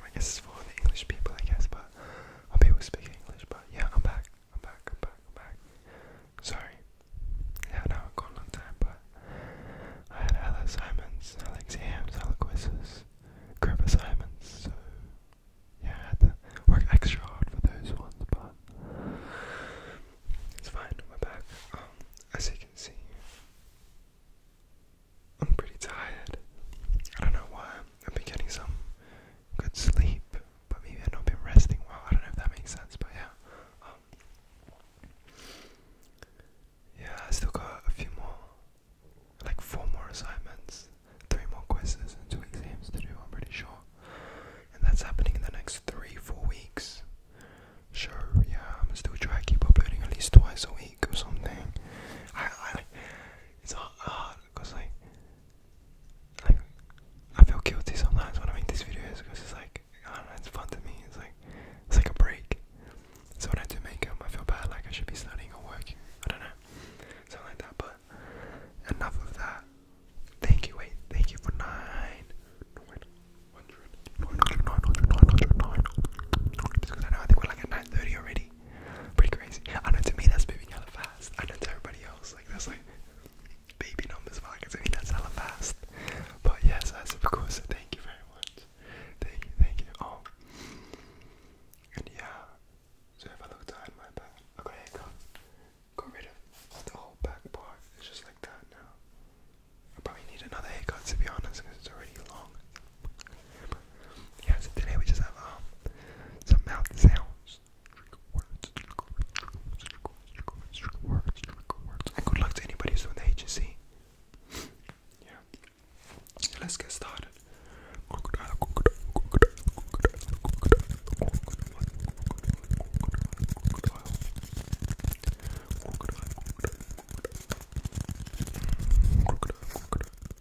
I guess it's for the English people, I guess, but or people speak English. But yeah, I'm back. I'm back. I'm back. I'm back. Sorry. Yeah, no, I've gone a long time, but I had Ella Simons, Alex Hams, Aliquises, Gripper Simons, so yeah, I had to work extra hard for those ones, but it's fine, we're back. Um, as you can see, I'm pretty tired. I don't know why I'm I've been getting some good sleep, but maybe I've not been resting well. I don't know if that makes sense, but yeah. Um, yeah, I still got a few more, like four more assignments, three more quizzes, and two exams to do, I'm pretty sure. And that's happening in the next three, four weeks. Sure, yeah, I'm still try to keep uploading at least twice a week or something. I, it's hard, because like, like I feel guilty sometimes when I make these videos because it's like I don't know, it's fun to me. It's like it's like a break. So when I do make them, I feel bad like I should be studying or working. I don't know, something like that. But enough of that. Thank you. Wait, thank you for nine. Wait, 100, I know I think we're like at 9.30 already Pretty crazy. I know to me that's moving hella fast. I know to everybody else, like that's like baby numbers markets. I mean that's hella fast. But yes, that's of course. Thank you very much. Thank you, thank you. Oh, and yeah. So if I look down my back, okay, go, got rid of the whole back part. It's just like that now. I probably need another haircut to be honest, because it's already long. Yeah, so today we just have um, some mouth sounds. And good luck to anybody who's doing the agency. Yeah. let's get started.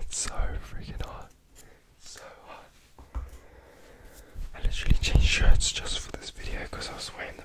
It's so freaking hot. so hot. I literally changed shirts just for this video because I was wearing the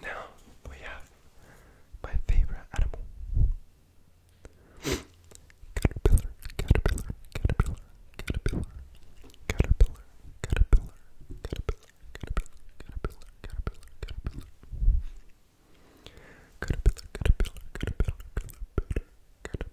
Now we have my favorite animal. Caterpillar, caterpillar, caterpillar, caterpillar, caterpillar, caterpillar, caterpillar, caterpillar, caterpillar, caterpillar, caterpillar. Caterpillar, caterpillar, caterpillar, caterpillar, caterpillar,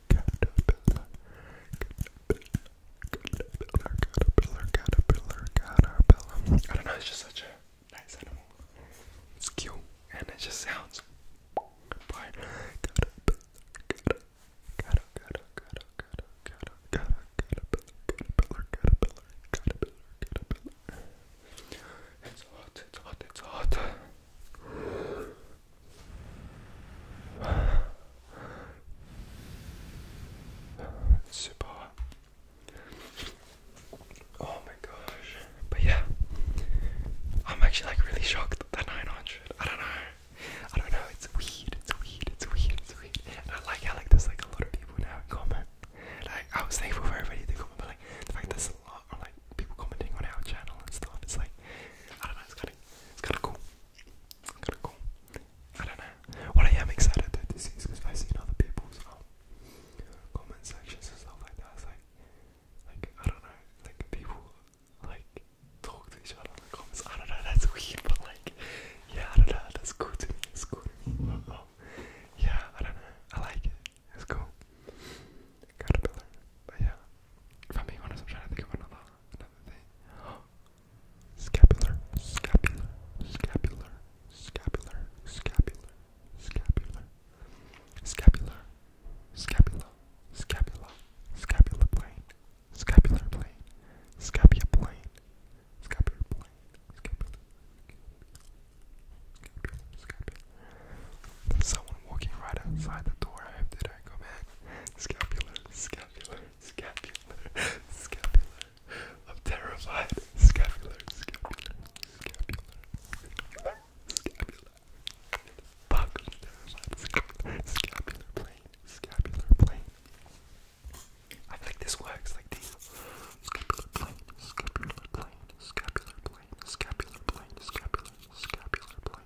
caterpillar, caterpillar, caterpillar, caterpillar, caterpillar. I don't know, it's just such a nice animal. It's cute and it just sounds by caterpillar, caterpillar, caterpillar, caterpillar, caterpillar, caterpillar, caterpillar, caterpillar. It's hot, it's hot, it's hot. C'est Oh my gosh. But yeah. I'm actually like really shocked that 900. I don't know. I don't know. It's weird. It's weird. It's weird. It's weird. And I like how like there's like a lot of people now in comment. Like I was thankful for everybody to comment, but like the fact there's a lot like people commenting on our channel and stuff. It's like, I don't know, it's kind of, it's kind of cool. kind of cool. I don't know. What I am excited though to see I've seen other people's um, comment sections and stuff like that. It's like, like I don't know, like people like talk to each other in the comments. I don't know. That's weird, but like, yeah, I don't know. That's cool to me. It's cool Yeah, I don't know. I like it. It's cool caterpillar. But yeah, if I'm being honest, I'm trying to think of another, another thing. Scapular, scapular, scapular, scapular, scapular, scapular, scapular, scapula, scapula, scapular plane, scapular plane, scapula plane, scapular plane, scapular, scapular, scapular, there's someone walking right outside the door. I hope they don't come in. Scapular, scapular, scapular, scapular. I'm terrified. Scapular, scapular, scapular, scapular. Fuck, I'm terrified. Scapular, scapular plane, scapular plane. I think this works like this. Scapular plane, scapular plane, scapular plane, scapular plane, scapular, scapular plane,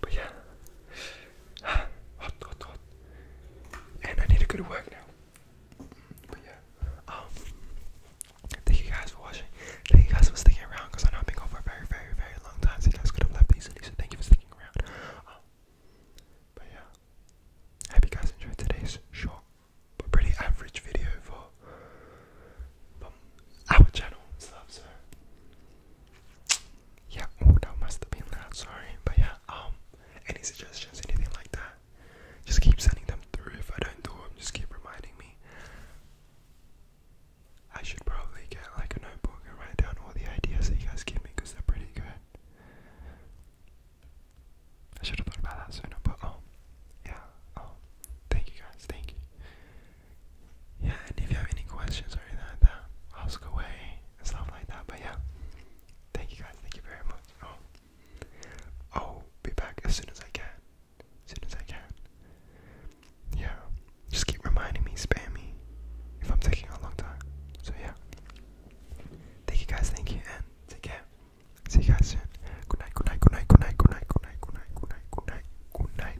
But yeah, hot, hot, hot. And I need to go to work now. But yeah, um, thank you guys for watching. Thank you guys for sticking around because I know I've been going for a very, very, very long time. So you guys could have left easily. So thank you for sticking around. Um, but yeah, hope you guys enjoyed today's short but pretty average video for our channel subs her. Yeah, oh, that must have been that. sorry. But yeah, um, any suggestions, anything like that, just keep sending them through. If I don't do them, just keep reminding me. I should probably get like a notebook and write down all the ideas that you guys give me because they're pretty good. I should have thought about that sooner, but oh, yeah, um, thank you guys, thank you yeah, and if you have any questions or anything like that, ask away and stuff like that. But yeah, thank you guys, thank you very much. Oh, i oh, be back as soon as I can, as soon as I can. Yeah, just keep reminding me, spam me if I'm taking a long time. So yeah, thank you guys, thank you, and take care. See you guys soon. Good night, good night, good night, good night, good night, good night, good night, good night, good night, good night.